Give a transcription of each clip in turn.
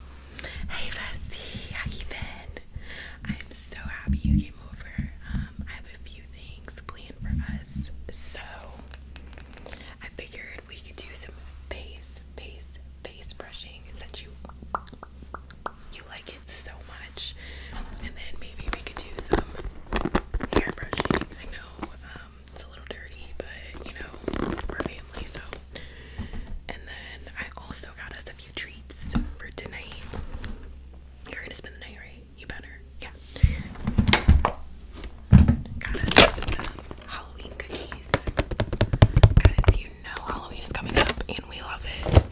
Hey Bessie, how you I'm so happy you came over. Um, I have a few things planned for us, so I figured we could do some face, face, face brushing since you you like it so much, and then maybe we could do some hair brushing. I know um, it's a little dirty, but you know we're family, so and then I also got us a few treats for tonight. You're gonna spend the night, right? You better. Yeah. Got us the Halloween cookies. Guys, you know Halloween is coming up and we love it.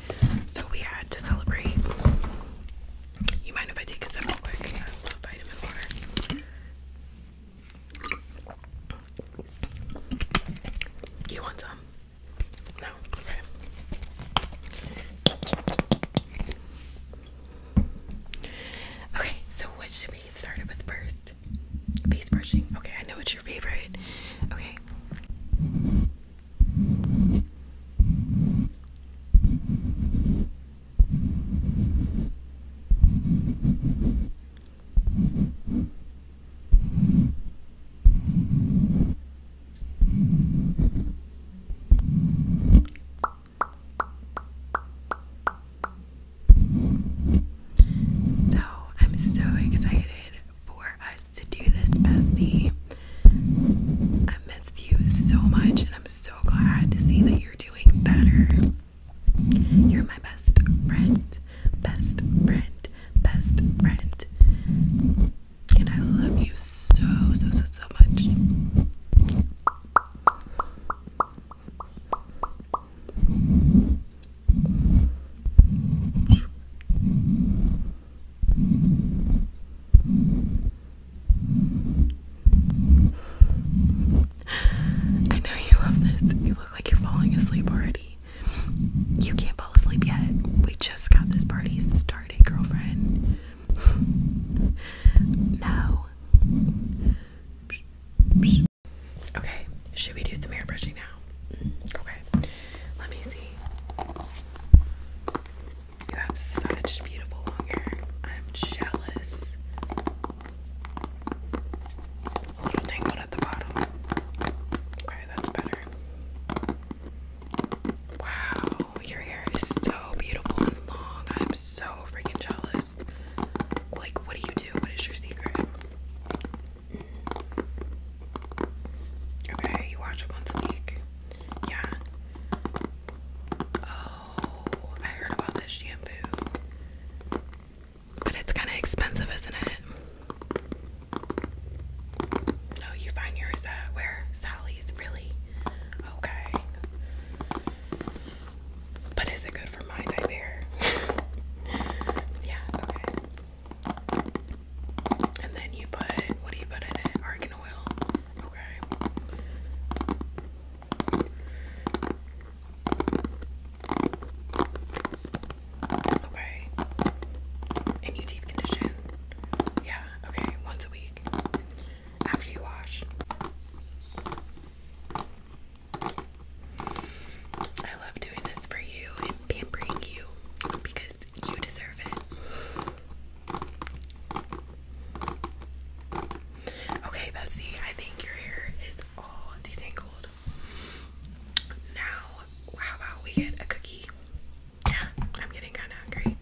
So we had to celebrate. You mind if I take a sip real quick? vitamin water. You want some? No? Okay. Okay, so what should we get started with first? Face brushing. Okay, I know it's your favorite. Okay. So I'm so excited for us to do this, bestie. I missed you so much, and I'm so glad to see that you're you're doing better. You're my best friend, best friend, best friend. And I love you so, so, so, so much. I know you love this. You look like you're falling asleep already. You can't fall asleep yet. We just got this party started, girlfriend. no. Okay, should we do some hair brushing now? Okay, let me see. You have such beautiful long hair. I'm jealous. A little tangled at the bottom. Okay, that's better. Wow, your hair is so beautiful and long. I'm so freaking jealous. Like, what do you do? What is your secret? Mm. Okay, you wash it once a week. Yeah. Oh, I heard about this shampoo. But it's kind of expensive, isn't it? No, you find yours at where? Sally's, really? Okay. But is it good for my type hair? yeah, okay. And then you put what do you put in it? Argan oil. Okay. Okay. And you deep condition. Yeah, okay, once a week. After you wash. I love doing this for you and pampering you because you deserve it. Okay, Bessie, I think your hair is all detangled. Now, how about we get a cookie? Yeah, I'm getting kind of hungry.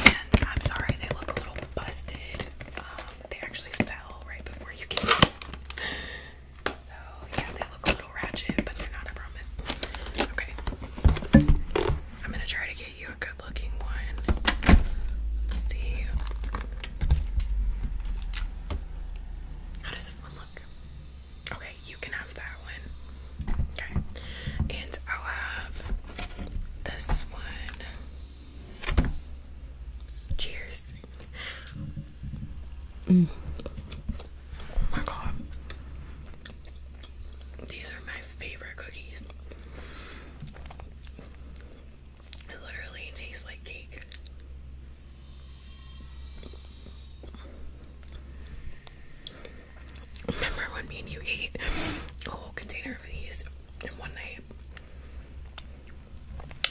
And I'm sorry they look a little busted. Um, they actually fell right before you came. So yeah, they look a little ratchet, but they're not, I promise. Okay. I'm gonna try to get you a good looking one. Let's see. How does this one look? Okay, you can have that one. Okay. And I'll have this one. Cheers. Mm. Oh my god. These are my favorite cookies. It literally tastes like cake. Remember when me and you ate a whole container of these in one night?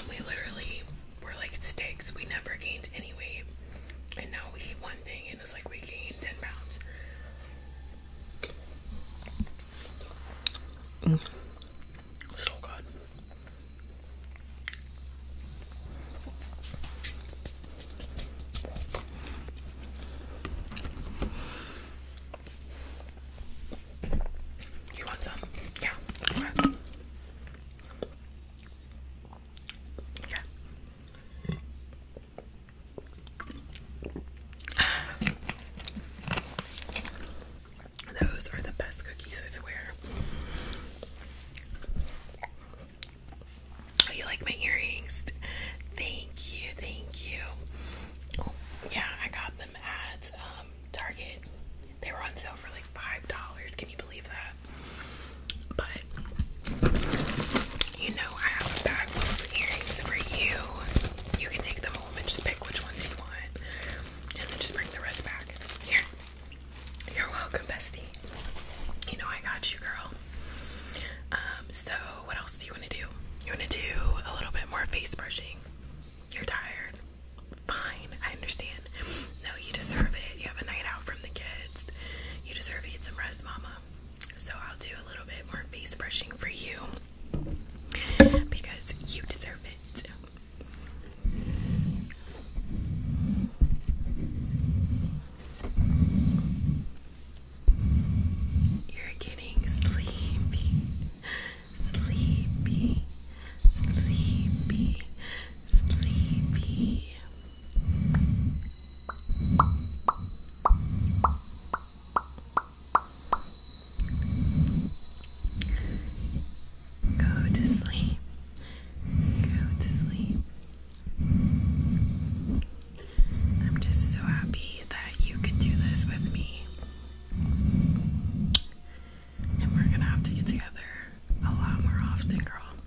we literally were like sticks. We never gained any weight. And now we eat one thing and it's like we gained 10 pounds. Mm. So good. You want some? Yeah. Yeah. Those are the best cookies, I swear. you like my earrings? Thank you, thank you. Oh, yeah, I got them at um, Target. They were on sale for like five dollars. Can you believe that? But you know, I have a bag full of earrings for you. You can take them home and just pick which ones you want, and then just bring the rest back. Here, you're welcome, bestie. You know I got you, girl. Um, so what else do you want to do? You want to do a little bit more face brushing? You're tired. Fine, I understand. No, you deserve it. You have a night out from the kids. You deserve to get some rest, mama. So I'll do a little bit more face brushing for you because you deserve it. You're getting sleepy, sleepy, sleepy, sleepy. Go to sleep. Go to sleep. I'm just so happy that you could do this with me. And we're gonna have to get together a lot more often, girl.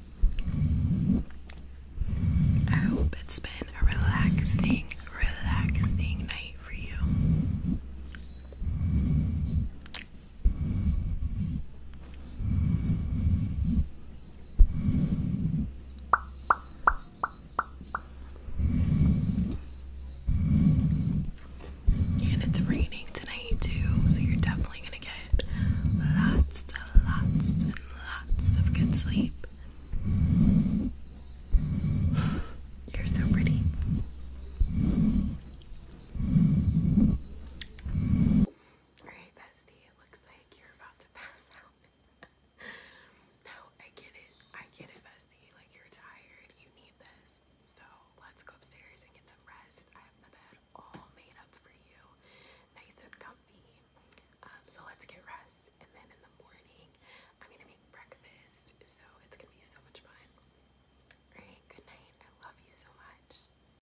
I hope it's been a relaxing, relaxing night for you. And it's raining tonight too, so you're definitely gonna get lots and lots and lots of good sleep. You're so pretty. Alright, bestie, it looks like you're about to pass out. no, I get it. I get it, bestie. Like, you're tired. You need this. So, let's go upstairs and get some rest. I have the bed all made up for you, nice and comfy. Um, so, let's get rest. And then in the morning, I'm gonna make breakfast. So, it's gonna be so much fun. Alright, good night. I love you so much.